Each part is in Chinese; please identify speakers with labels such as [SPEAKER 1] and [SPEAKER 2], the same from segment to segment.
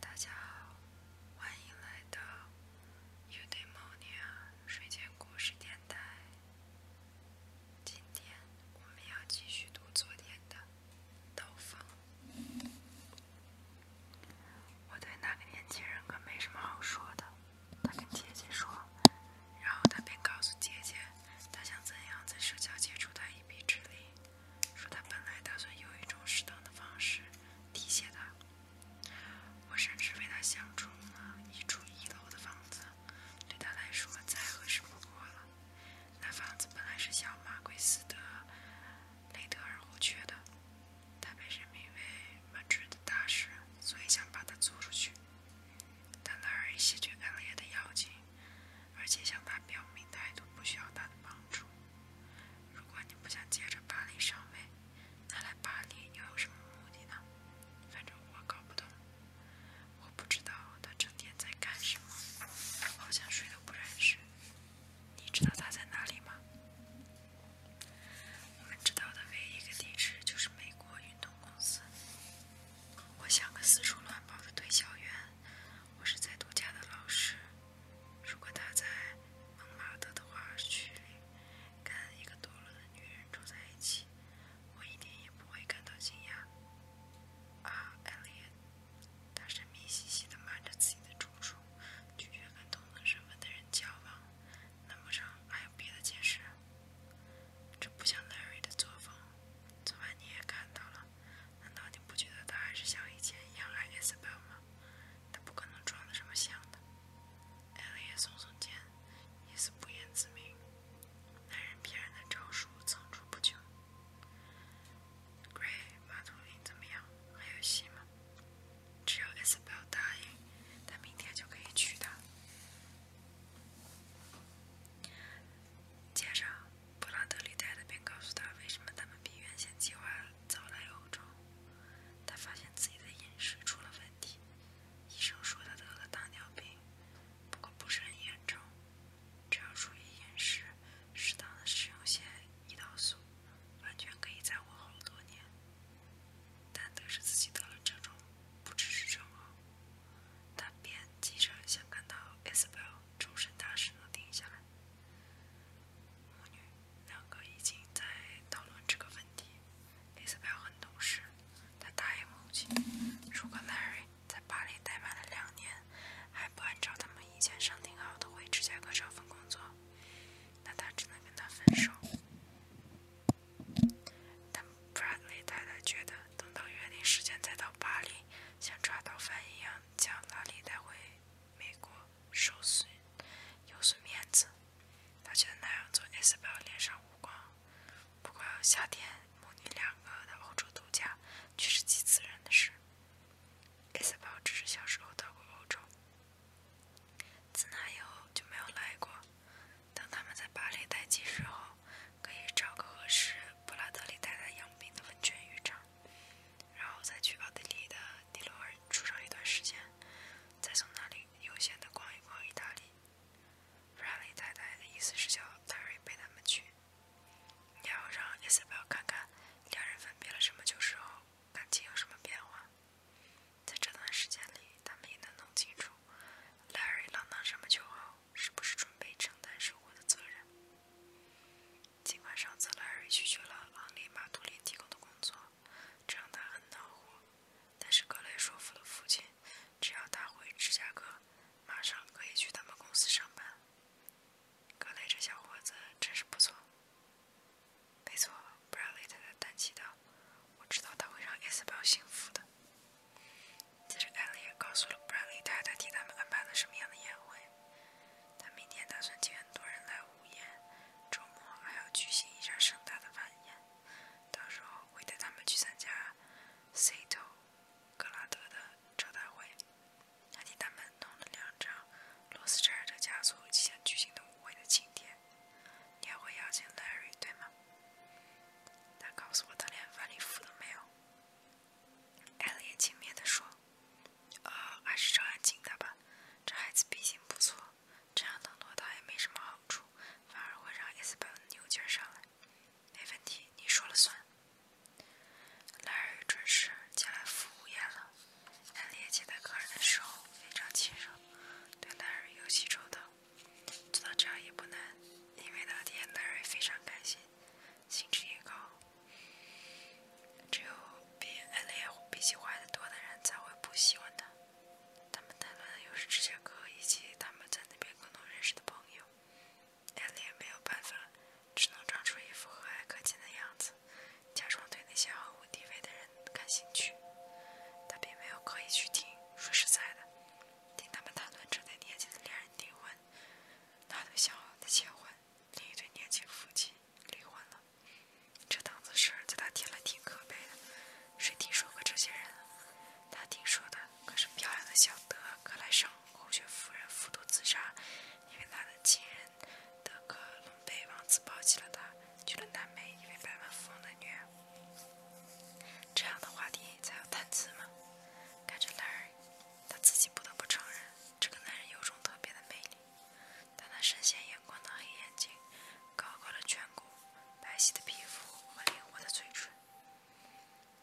[SPEAKER 1] 大家好，欢迎来到 Uday Morning 睡前故事电台。今天我们要继续读昨天的《刀锋》。我对那个年轻人可没什么好说的，他跟姐姐说，然后他便告诉姐姐，他想怎样在社交接触他一臂之力。说他本来打算用一种适当的方式提携他，我甚至为他想出了一处一楼的房子，对他来说再合适不过了。那房子本来是小马奎斯的雷德尔湖爵的，他被任命为曼彻的大使，所以想把它租出去，但那儿已席卷干了的妖精。而且向他表明态度，不需要他的帮助。如果你不想接着巴黎上位，那来巴黎又有什么目的呢？反正我搞不懂，我不知道他整天在干什么，好像谁都不认识。你知道他在哪里吗？我们知道的唯一一个地址就是美国运动公司。我像个四处乱跑的推销员，我是在度假的老师。如果他在蒙马特的话，室里跟一个堕落的女人住在一起，我一点也不会感到惊讶。啊，艾丽亚，他神秘兮兮的瞒着自己的住处，拒绝跟同等身份的人交往。难不成还有别的解释？这不像奈瑞的作风。昨晚你也看到了。难道你不觉得他还是像以前一样爱 Isabel 吗？他不可能装的这么像的。艾琳也耸耸肩，一丝不言自明。男人骗人的招数层出不穷。Gray 马图林怎么样？还有戏吗？只要 Isabel 答应，他明天就可以娶她。接着。布拉德利太太便告诉他为什么他们比原先计划早来欧洲。他发现自己的饮食出了问题，医生说他得了糖尿病，不过不是很严重，只要注意饮食，适当的使用些胰岛素，完全可以再活好多年。但得知自己得了这种，不只是症候，他便急着想赶到埃斯伯尔，终身大事能定下来。母女两个已经在讨论这个问题。i s a b 很懂事，她答应母亲。如果 n e l y 在巴黎待满了两年，还不按照他们以前商定好的回芝加哥找份工作，那她只能跟他分手。但 h e Bradley 太太觉得，等到约定时间再到巴黎，像抓到犯一样将拉里带回。美国受损，有损面子。他觉得那样做，艾斯堡脸上无光。不过夏天母女两个到欧洲度假，却是极自然的事。艾斯堡只是小时候到过欧洲，自那以后就没有来过。等他们在巴黎待几日后，可以找个合适，布拉德利太太养病的温泉浴场。然后再去巴德利的迪龙尔住上一段时间，再从那里悠闲地逛一逛意大利。拉里太太的意思是叫拉里陪他们去，要让伊莎贝尔看看，两人分别了这么久之后，感情有什么变化。在这段时间里，他们也能弄清楚，拉里浪荡这么久后，是不是准备承担生活的责任。尽管上次莱瑞拒绝了昂利马图林提供的工作，这让他很恼火，但是格雷说服了父亲，只要他回芝加哥，马上可以去他们公司上班。格雷这小伙子真是不错。没错，布朗雷太太叹气道：“我知道他会让艾斯表幸福的。”接着艾丽也告诉了布朗雷太太，替他们安排了什么样的宴会。他明天打算请很多人来午宴，周末还要举行一下盛大的晚宴。到时候会带他们去参加 C 头格拉德的招待会。还替他们弄了两张罗斯柴尔德家族即将举行的舞会的庆典。你还会邀请 Larry 对吗？他告诉我他连晚礼服都没有。艾丽轻蔑地说。呃，还是招安静的吧，这孩子品行不错，这样冷落他也没什么好处，反而会让 S 班牛劲上来。没问题，你说了算。奈尔也准时进来服务宴了，奈丽接待客人的时候非常亲热，对奈尔尤其周到，做到这样也不难，因为那天 Larry 非常开心，兴致也高。只有比艾莉比其坏得多的人才会不喜欢他。他们谈论的又是芝加哥以及他们在那边共同认识的朋友。艾莉没有办法，只能装出一副和蔼可亲的样子，假装对那些毫无地位的人感兴趣。他并没有刻意去听。说实在的，听他们谈论这对年轻的恋人订婚，那对想要的结婚，另一对年轻夫妻离婚了。这档子事儿在他听来挺可悲的，谁听说过这些人？他听说的可是漂亮的小德克莱上侯爵夫人服毒自杀，因为他的情人德格隆被王子抛弃了他，娶了南美，一位百万富翁的女儿。这样的话题才有谈资嘛？看着莱尔，他自己不得不承认。这个男人有种特别的魅力，他那深陷眼眶的黑眼睛、高高的颧骨、白皙的皮肤和灵活的嘴唇，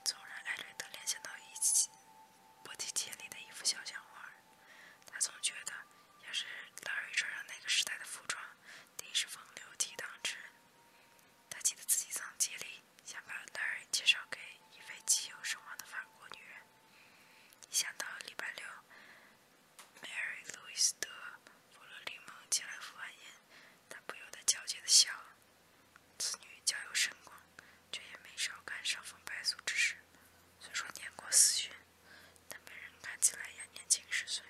[SPEAKER 1] 总让艾瑞德联想到一起波提杰里的一幅肖像画。他总觉得，要是拉瑞穿上那个时代的服装，定是风流倜傥之人。他记得自己曾竭力想把拉瑞介绍给一位极有声望的法国女人。想到礼拜六，Mary 路易斯德弗洛里蒙前来赴宴，他不由得焦急地笑了。女家有盛光，却也没少干伤风败俗之事。虽说年过四旬，但别人看起来也年轻十岁。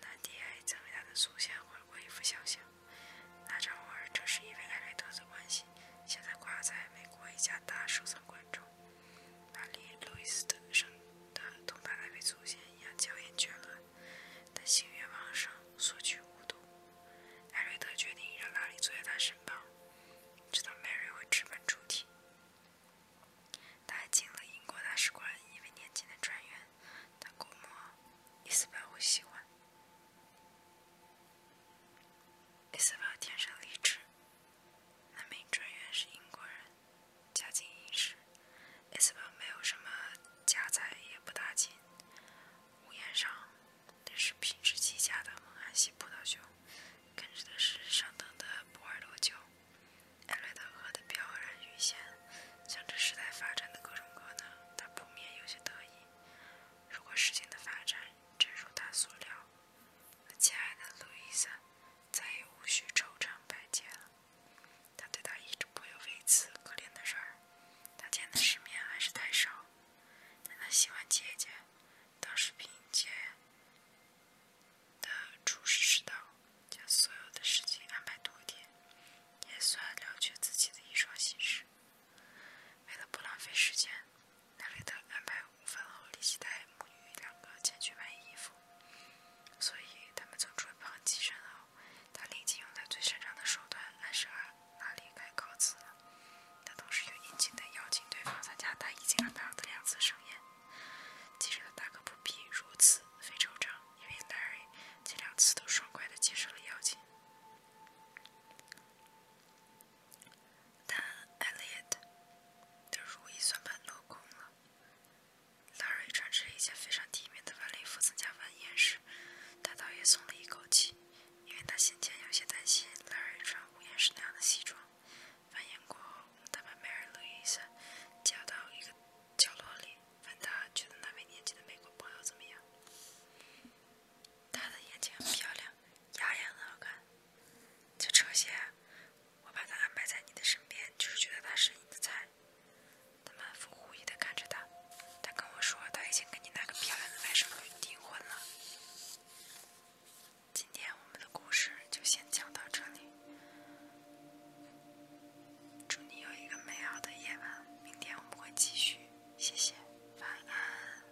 [SPEAKER 1] 南迪还曾为他的祖先画过一幅肖像，那张画正是因为艾略特的关系，现在挂在美国一家大收藏馆中。拉里·路易斯的生得同他那位祖先一样娇艳绝伦，但性欲旺盛，索取无度。艾瑞特决定让拉里坐在他身旁，直到 Mary 会直奔主题。他见了英国大使馆一位年轻的专员，他估摸伊丝宝会喜欢。伊丝宝天生丽质。那名专员是英国人，家境殷实。艾斯本没有什么家财，也不大近。屋檐上都是品质极佳的蒙哈希葡萄酒，跟着的是上等的波尔多酒。艾瑞德河的飘然鱼线，想着时代发展的各种可能，他不免有些得意。如果事情的发展真如他所料，那亲爱的路易斯，再也无需愁肠百结了。他对他一直颇有微词，可怜的人儿，他见的世面还是太少。但他喜欢姐姐，当时凭借的处事之道，将所有的事情安排妥帖，也算了却自己的一桩心事。为了不浪费时间。奈瑞特安排午饭后，立即带母女两个前去买衣服，所以他们从厨房起身后，他立即用他最擅长的手段来设宴。奈瑞特告辞了，他同时又殷勤地邀请对方参加他已经安排好的两次盛宴。其实他大可不必如此费周章，因为奈瑞这两次都爽快地接受了邀请。但艾略特的如意算盘落空了。l 瑞穿着一件非常体面的晚礼服参加晚宴时，他倒也松了一口气，因为他先前有些担心 l 瑞穿午宴时那样的西装。晚宴过后，他把 m a 的雨伞夹到一个角落里，问他觉得那位年轻的美国朋友怎么样。他的眼睛很漂亮，牙也很好看。这车些，我把他安排在你的身边，就是觉得他是你的菜。他满腹狐疑的看着他，他跟我说他已经跟你那个漂亮的外甥女订婚了。今天我们的故事就先讲到这里，祝你有一个美好的夜晚，明天我们会继续，谢谢，晚安。